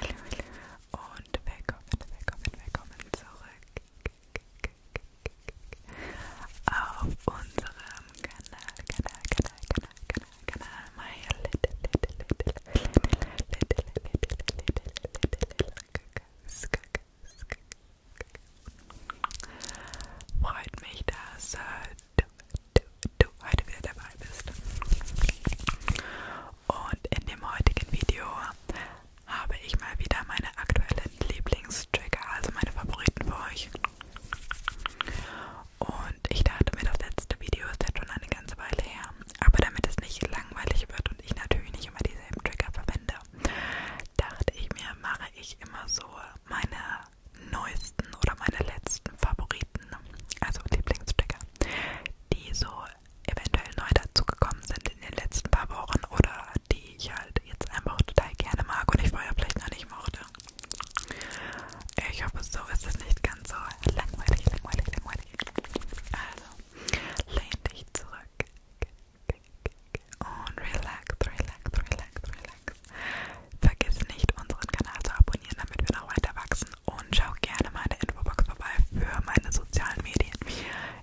Und willkommen, willkommen, willkommen zurück auf unserem Kanal, Kanal, Kanal, Kanal, Kanal, Kanal, my little, little, little, little, little, little, little, little, Freut mich, dass du, du, du heute wieder dabei bist. Und in dem heutigen Video habe ich mal wieder meine aktuellen Lieblingstrigger, also meine Favoriten für euch. Und ich dachte mir, das letzte Video ist jetzt schon eine ganze Weile her. Aber damit es nicht langweilig wird und ich natürlich nicht immer dieselben Trigger verwende, dachte ich mir, mache ich immer so meine neuesten oder meine letzten Favoriten, also Lieblingstrigger, die so eventuell neu dazugekommen sind in den letzten paar Wochen oder die ich halt jetzt einfach total gerne mag und ich vorher vielleicht noch nicht mochte. Ich hoffe, so ist es nicht ganz so langweilig, langweilig, langweilig. Also, lehn dich zurück und relax, relax, relax, relax. Vergiss nicht, unseren Kanal zu abonnieren, damit wir noch weiter wachsen und schau gerne meine Infobox vorbei für meine sozialen Medien,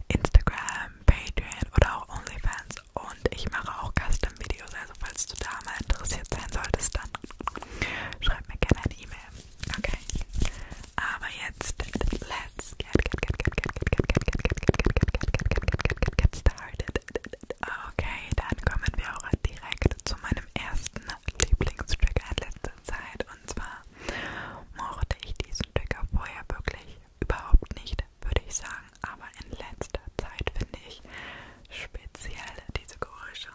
Instagram, Patreon oder auch OnlyFans und ich mache auch Custom-Videos, also falls du da mal interessiert sein solltest, dann schreib mir gerne eine E-Mail, okay? Aber jetzt, let's get, get, get, get, get, get, get, get, get, get, get, get, get, get, get, get, get, get started. Okay, dann kommen wir auch direkt zu meinem ersten Lieblingstrigger, ein letztes letzter Zeit und zwar mochte ich diesen Trigger vorher wirklich überhaupt nicht, würde ich sagen, aber in letzter Zeit finde ich speziell diese Geräusche.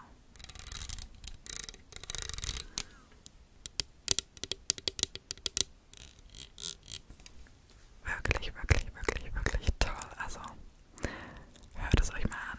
Wirklich, wirklich, wirklich, wirklich toll. Also hört es euch mal an.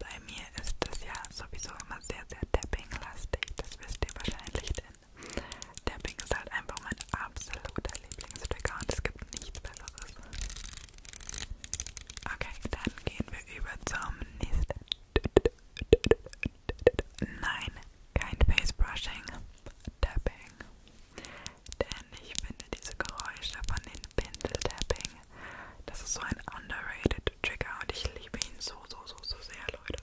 Bei mir ist das ja sowieso immer sehr, sehr tapping-lastig. Das wisst ihr wahrscheinlich, denn Tapping ist halt einfach mein absoluter Lieblingstrigger und es gibt nichts Besseres. Okay, dann gehen wir über zum nächsten. Nein, kein Facebrushing, Tapping. Denn ich finde diese Geräusche von den Pinsel-Tapping, das ist so ein underrated Trigger und ich liebe ihn so, so, so, so sehr, Leute.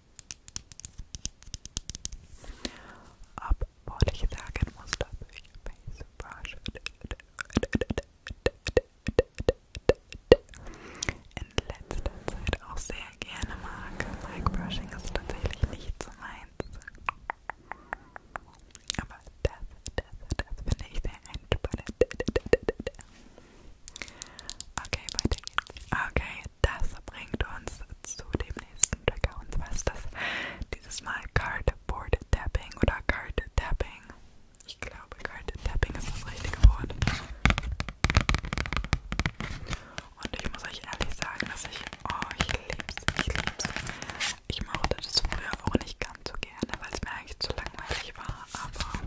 Ab wollte ich sagen, muss das Face Brush in letzter Zeit auch sehr gerne mag. Mic Brushing ist tatsächlich nicht so meins. Aber das, das, das finde ich sehr entspannend. Okay, weiter geht's. Okay, das bringt uns zu dem nächsten Trigger und zwar ist das dieses Mal Cardboard Tapping oder Card Tapping. Ich glaube, Card Tapping ist das richtige Wort. Und ich muss euch ehrlich sagen, dass ich, oh, ich lieb's, ich lieb's. Ich mochte das früher auch nicht ganz so gerne, weil es mir eigentlich zu langweilig war, aber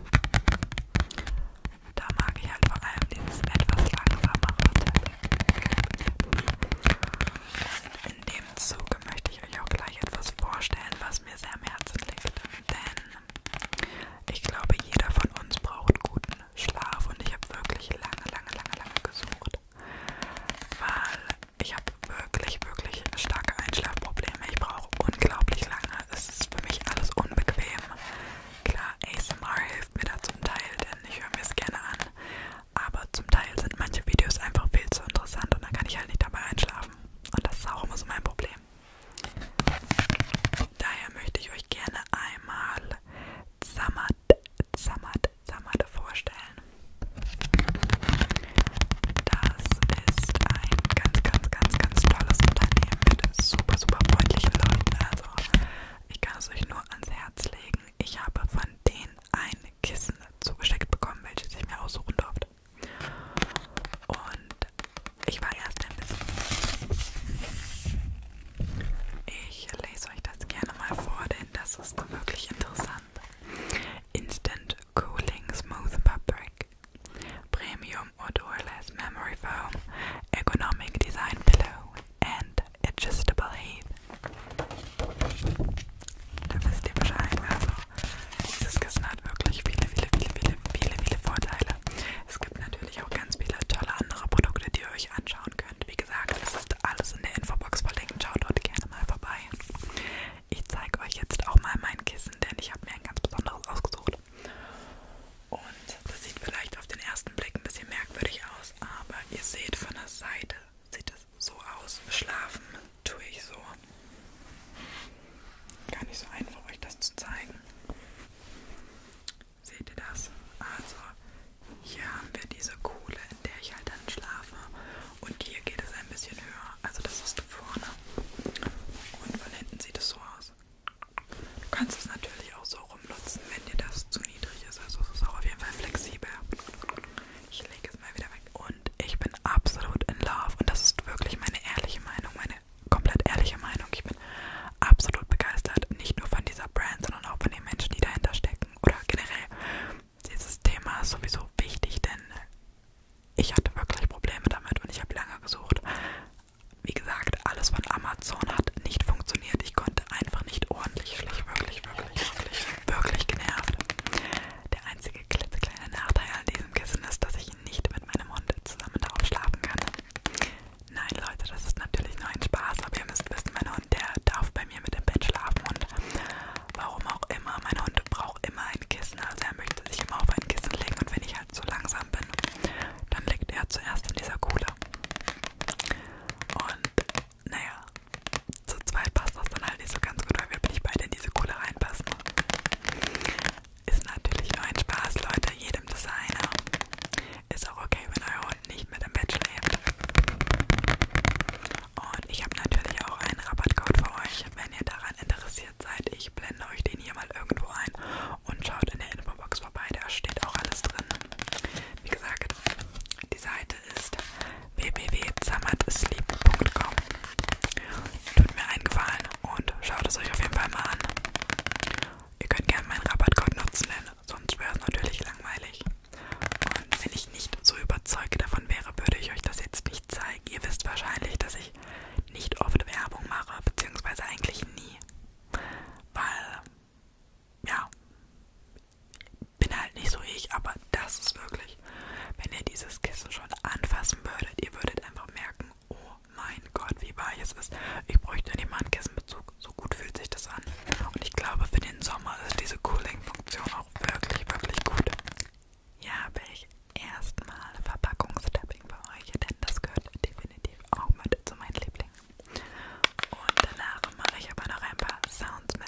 da mag ich halt vor allem dieses etwas langsamere Tapping. In dem Zuge möchte ich euch auch gleich etwas vorstellen, was mir sehr am Herzen liegt. Denn ich glaube, jeder von uns braucht guten Schlaf und ich habe wirklich lange, lange, lange, lange gesucht. Weil ich habe wirklich, wirklich starke Einschlafprobleme. Ich brauche unglaublich lange. Es ist für mich alles unbequem. Klar, ASMR hilft mir da zum Teil, denn ich höre mir es gerne an. Aber zum Teil sind manche Videos einfach viel zu interessant und dann kann ich halt nicht dabei einschlafen. Und das ist auch immer so mein Problem. Daher möchte ich euch gerne einmal Samad, Samad, Samad vorstellen. Das ist ein ganz, ganz, ganz, ganz tolles Unternehmen mit super, super freundlichen Leuten. Also ich kann es euch nur ans Herz legen sagen, ich habe von denen ein Kissen zugeschickt bekommen, welches ich mir aussuchen durfte. Und ich war erst ein bisschen. Ich lese euch das gerne mal vor, denn das ist wirklich interessant. Instant Cooling Smooth Fabric. Premium Odorless Memory Foam, Ergonomic Design Pillow and It's just a believe. Da wisst ihr Bescheid. Also, dieses Kissen hat wirklich viele, viele, viele, viele, viele, viele Vorteile. Es gibt natürlich auch ganz viele tolle andere Produkte, die ihr euch anschauen könnt. Wie gesagt, es ist alles in der Infobox verlinkt. Schaut dort gerne mal vorbei. Ich zeige euch jetzt auch mal mein Kissen, denn ich habe mir ein ganz besonderes ausgesucht. Und das sieht vielleicht auf den ersten Blick ein bisschen merkwürdig aus, aber ihr seht von der Seite sieht es so aus. Schlafen tue ich so. Gar nicht so einfach, euch das zu zeigen. Seht ihr das? Also, hier haben wir diese Kuhle, in der ich halt dann schlafe. Und hier geht es ein bisschen höher. Also, das ist vorne. Und von hinten sieht es so aus. Du kannst es natürlich auch so rumnutzen, wenn dir das zu niedrig ist. Also es ist auch auf jeden Fall flexibel. Ich lege es mal wieder weg. Und ich bin absolut in love. Und das ist wirklich meine ehrliche Meinung, meine komplett ehrliche Meinung. Ich bin absolut begeistert, nicht nur von dieser Brand, sondern auch von den Menschen, die dahinter stecken. Oder generell, dieses Thema ist sowieso wichtig, denn ich hatte wirklich Probleme damit und ich habe lange gesucht. Wie gesagt, alles von Amazon hat nicht funktioniert. Ich konnte sind einfach nicht ordentlich. Wirklich, wirklich, wirklich, wirklich genervt. Der einzige klitzekleine Nachteil an diesem Kissen ist, dass ich ihn nicht mit meinem Hund zusammen darauf schlafen kann. Nein, Leute, das ist natürlich nur ein Spaß, aber ihr müsst wissen, mein Hund, der darf bei mir mit im Bett schlafen und warum auch immer, mein Hund braucht immer ein Kissen, also er möchte sich immer auf ein Kissen legen und wenn ich halt zu so langsam bin, dann liegt er zuerst in dieser Kuhle. Und naja, zu zweit passt das dann halt nicht so ganz gut, weil wir nicht beide in diese Kohle reinpassen. Ist natürlich nur ein Spaß, Leute, jedem Designer. Ist auch okay, wenn euer Hund nicht mit im Bett schläft. Und ich habe natürlich auch einen Rabattcode für euch, wenn ihr daran interessiert seid. Ich blende euch den hier mal irgendwo ein und schaut in der Infobox vorbei, da steht auch alles drin. Wie gesagt, die Seite ist www.zamatsleep.com. Tut mir einen Gefallen und schaut es euch auf jeden Fall mal an. Ihr könnt gerne meinen Rabattcode nutzen, denn sonst wäre es natürlich langweilig. Und wenn ich nicht so überzeugt davon wäre, würde ich euch das jetzt nicht zeigen. Ihr wisst wahrscheinlich, dass ich nicht oft Werbung mache, beziehungsweise eigentlich nie. Weil ja, bin halt nicht so ich, aber das ist wirklich, wenn ihr dieses Kissen schon anfassen würdet, ihr würdet einfach merken, oh mein Gott, wie weich es ist. Ich bräuchte nicht mal einen Kissenbezug, so gut fühlt sich das an. Und ich glaube, für den Sommer ist diese Cooling-Funktion auch wirklich, wirklich gut. Ja, habe ich erstmal Verpackungstapping bei euch, denn das gehört definitiv auch mit zu meinen Lieblingen. Und danach mache ich aber noch ein paar Sounds mit.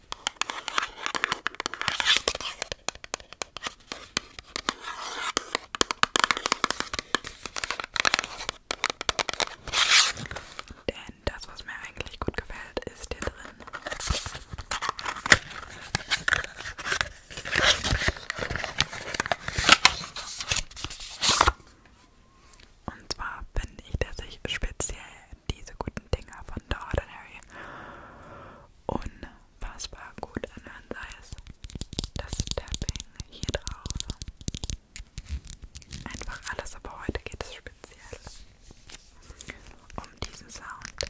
Denn das, was mir eigentlich gut gefällt, ist hier drin. Und zwar finde ich, dass ich speziell diese guten Dinger von The Ordinary unfassbar gut anhören, sei es das Tapping hier drauf. Einfach alles, aber heute geht es speziell um diesen Sound.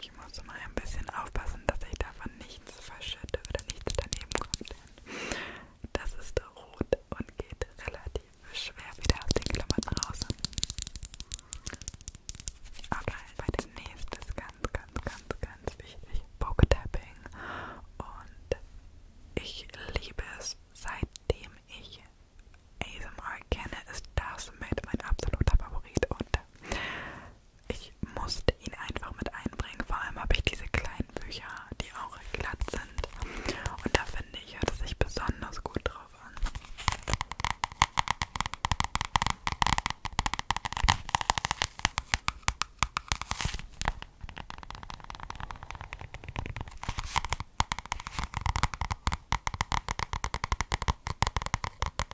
Ich muss mal ein bisschen aufpassen, dass ich davon nichts verschütte oder nichts daneben kommt. Denn das ist rot und geht relativ schwer wieder aus den Klamotten raus. Okay, als nächstes ganz, ganz, ganz, ganz wichtig: Poketapping. Und ich liebe es, seitdem ich ASMR kenne, ist das mit mein absoluter Favorit. Und ich musste ihn einfach mit einbringen. Vor allem habe ich diese kleinen Bücher, die auch glatt sind. Und da finde ich, hört es sich besonders gut drauf an.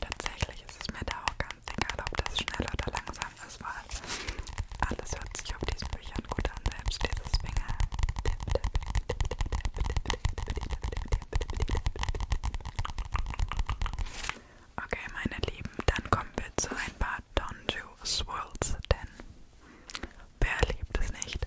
Tatsächlich ist es mir da auch ganz egal, ob das schnell oder langsam Auswahl. Alles hört sich auf diesen Büchern gut an, selbst dieses Finger. Okay, meine Lieben, dann kommen wir zu ein paar Donju Swirls, denn wer liebt es nicht?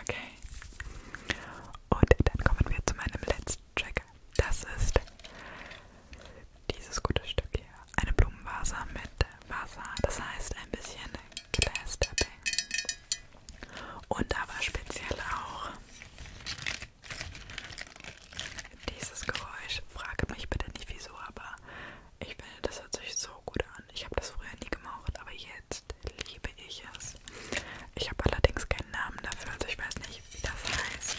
Okay. Und dann kommen wir zu meinem letzten Track. Das ist dieses gute Stück hier. Eine Blumenvase mit Wasser. Das heißt ein bisschen Glass Tapping. Und aber speziell auch dieses Geräusch, frage mich bitte nicht wieso, aber ich finde, das hört sich so gut an. Ich habe das früher nie gemocht, aber jetzt liebe ich es. Ich habe allerdings keinen Namen dafür, also ich weiß nicht, wie das heißt.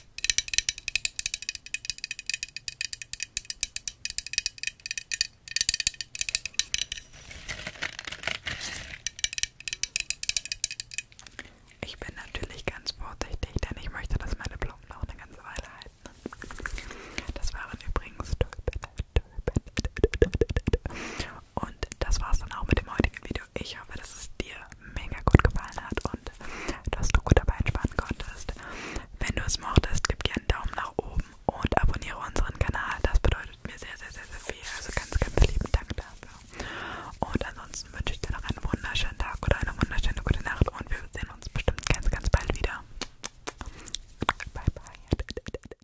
Ich bin natürlich ganz vorsichtig, denn ich möchte, dass meine Blumen noch eine ganze Weile halten. Das waren übrigens und das war's dann auch mit dem heutigen Video. Ich hoffe, dass es dir mega gut gefallen hat und hast, dass du gut dabei entspannen konntest. Wenn du es mochtest, gib gerne einen Daumen nach oben und abonniere unseren Kanal. Das bedeutet mir sehr, sehr, sehr, sehr viel. Also ganz, ganz lieben Dank dafür. Und ansonsten wünsche ich dir noch einen wunderschönen Tag oder eine wunderschöne gute Nacht und wir sehen uns bestimmt ganz, ganz bald wieder. Bye, bye.